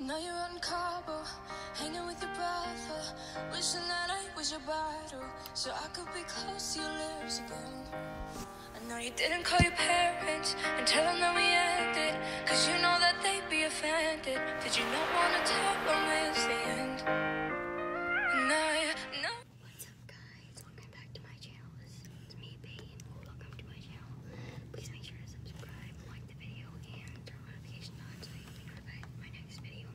Now you're on Cabo, hanging with your brother. Wishing that I was your bottle, so I could be close to your lips again. I know you didn't call your parents and tell them that we ended, cause you know that they'd be offended. Did you not wanna tell them it's the end? And I know. What's up guys? Welcome back to my channel. This me, Bane. Welcome to my channel. Please make sure to subscribe, like the video, and turn notifications so you can be notified my next video.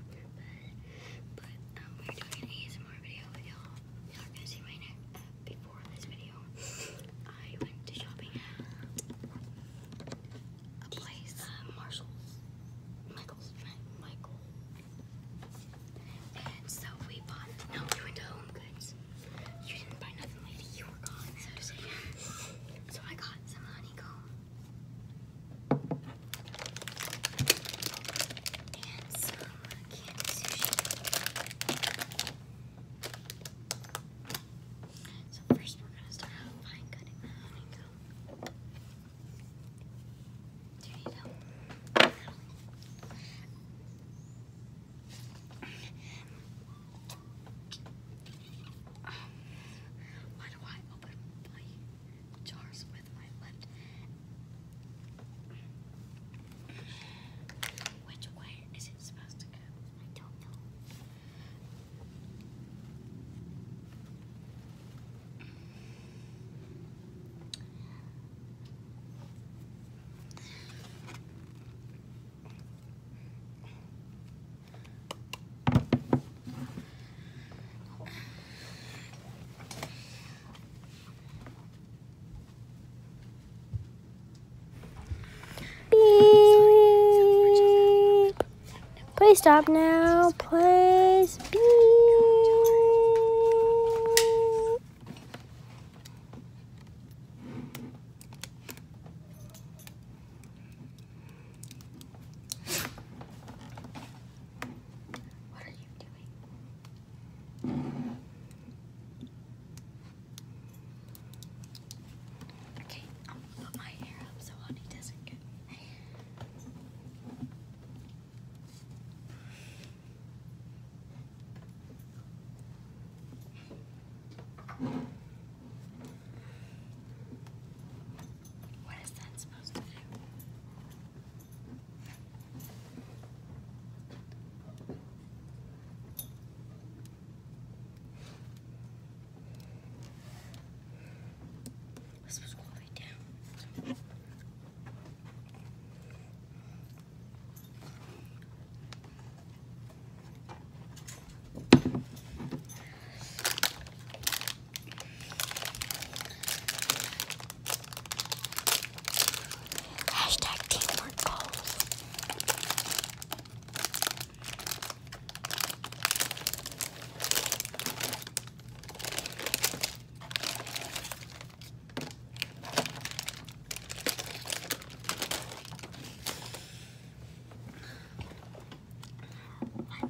But, um, we're doing an ASMR video. Y'all are going to see my neck uh, before this video. I went to shopping at a place, uh, Marshall's. Michael's, Michael's. And so we bought. No, you went to Home Goods. You didn't buy nothing, lady. You were gone. So I. got some honeycomb. And some canned sushi. So first we're gonna start by cutting the honeycomb why do I open jars with my left? Which way is it supposed to go? I don't know. Please stop now. Please. Beep. What are you doing? Okay, I'm gonna put my hair up so honey doesn't get. What is that supposed to do? This was all down. Hashtag teamwork goals.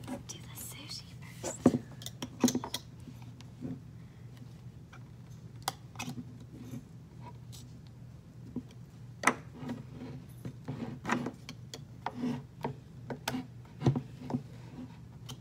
Let's do the sushi first.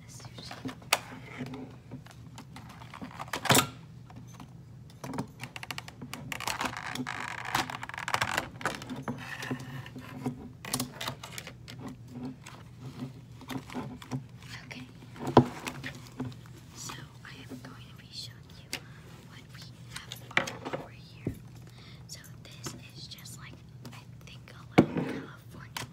this Okay, so I am going to be showing you what we have over here. So this is just like I think California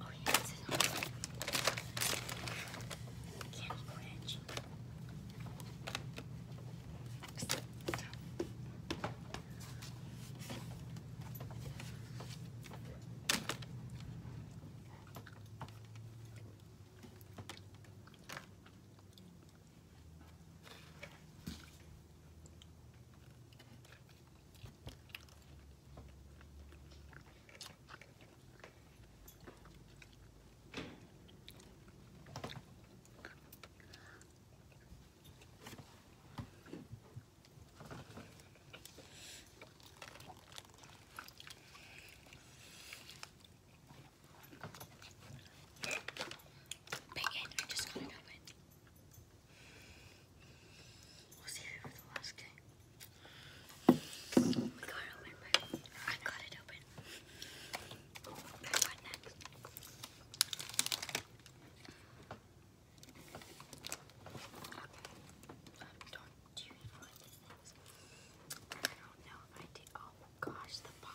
Oh, yeah, it's on Candy Crunch. Bacon, I just got it We'll save it for the last time. We got it open, but I got it open. What next? Um, do you know what this I don't know I did. Oh gosh, the box.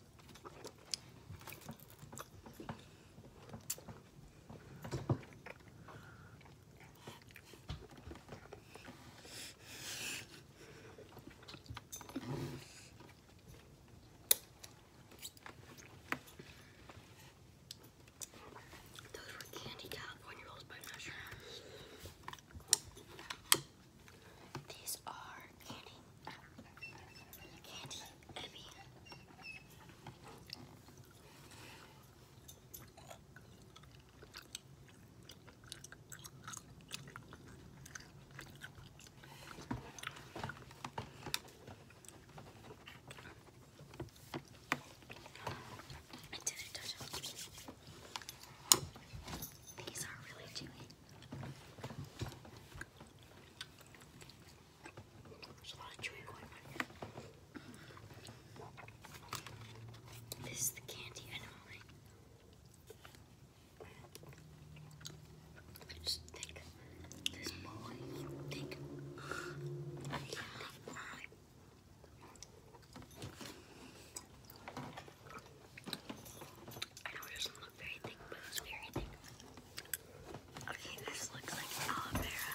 Those were candy California rolls, but I'm not sure. These are candy, candy, I mean, these are really chewy. There's a lot of chewing going on here. This is the candy anomaly. I just think this boy, you think I can't think why. I know not look very thick, but it's very thick. Okay, this looks like aloe vera.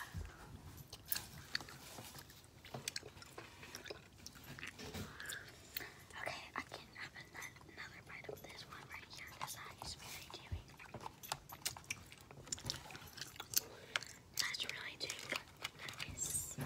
Okay, I can have another bite of this one right here because that is very chewy. That's really chewy. That is a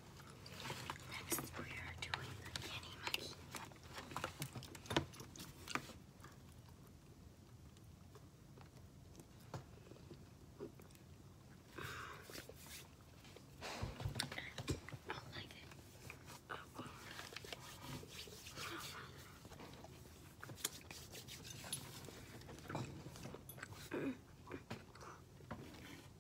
Next, we are doing the Kenny Monkey. I like it.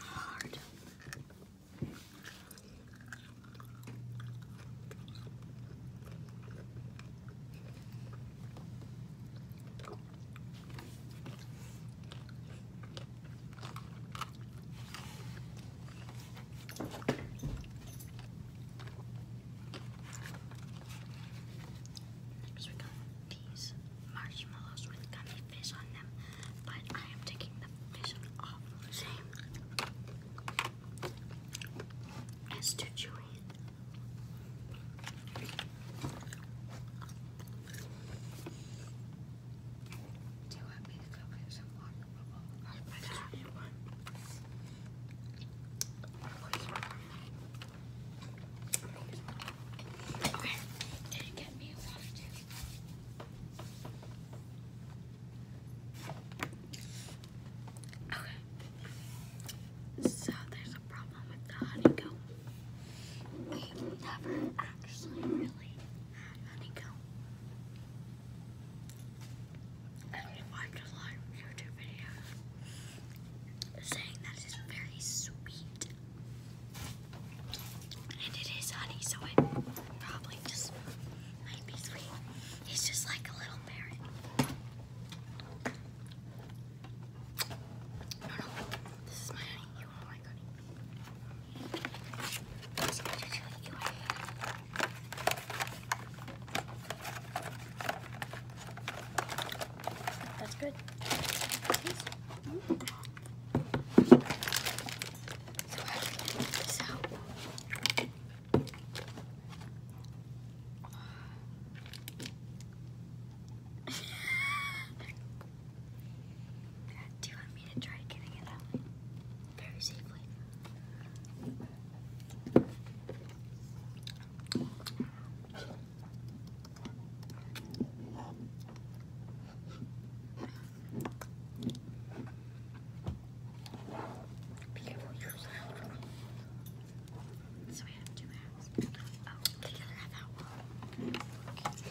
Hard. Next we got these marshmallows with gummy fish on them, but I am taking the fish off same. It's too chewy. Do you want me to go get some water bubbles? I bet want. Okay, so there's a problem with the honeycomb. we never actually really had honeycomb and we watched a lot of YouTube videos saying that very sweet. And it is honey, so it probably just might be It's just like a little bear. No, no, this is my honey. Oh you are my honey. That's good. do you want me to try getting it out very safely? Beautiful user. So we have two halves. Oh, the other half out. Okay.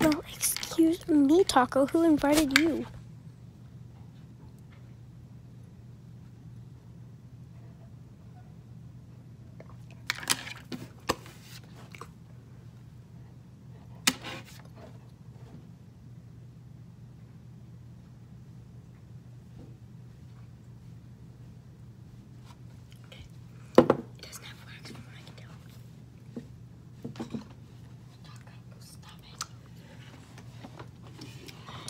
Well, excuse me, Taco. Who invited you? Okay. It doesn't have wax from what I can tell. Stop it. Stop it.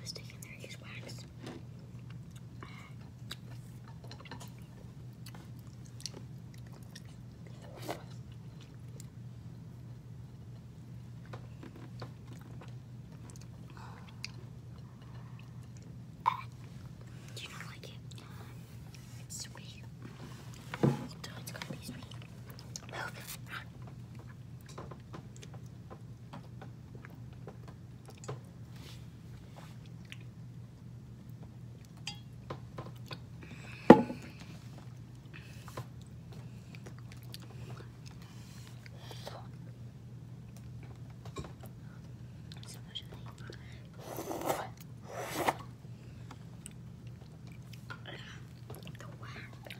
Mistake in there is wax. Do you not like it? It's sweet. So it's gonna be sweet. Move. So much the wax.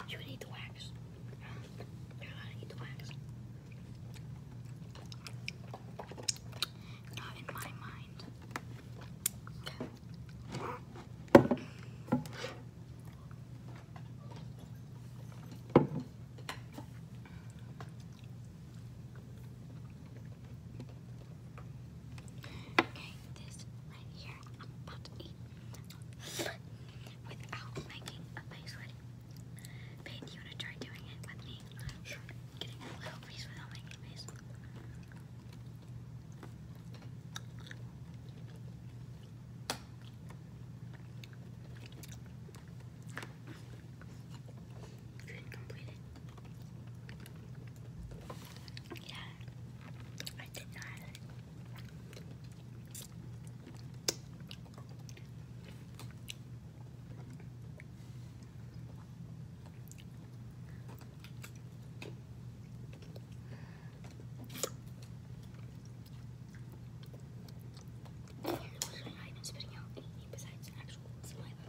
You would the wax. You're allowed to eat the wax. Not in my mind. Okay, this right here I'm about to eat without making a face with do you want to try doing it with me? Sure. Getting a little piece without making a face. You not complete it. Yeah, I did not. I even spitting out anything besides actual saliva?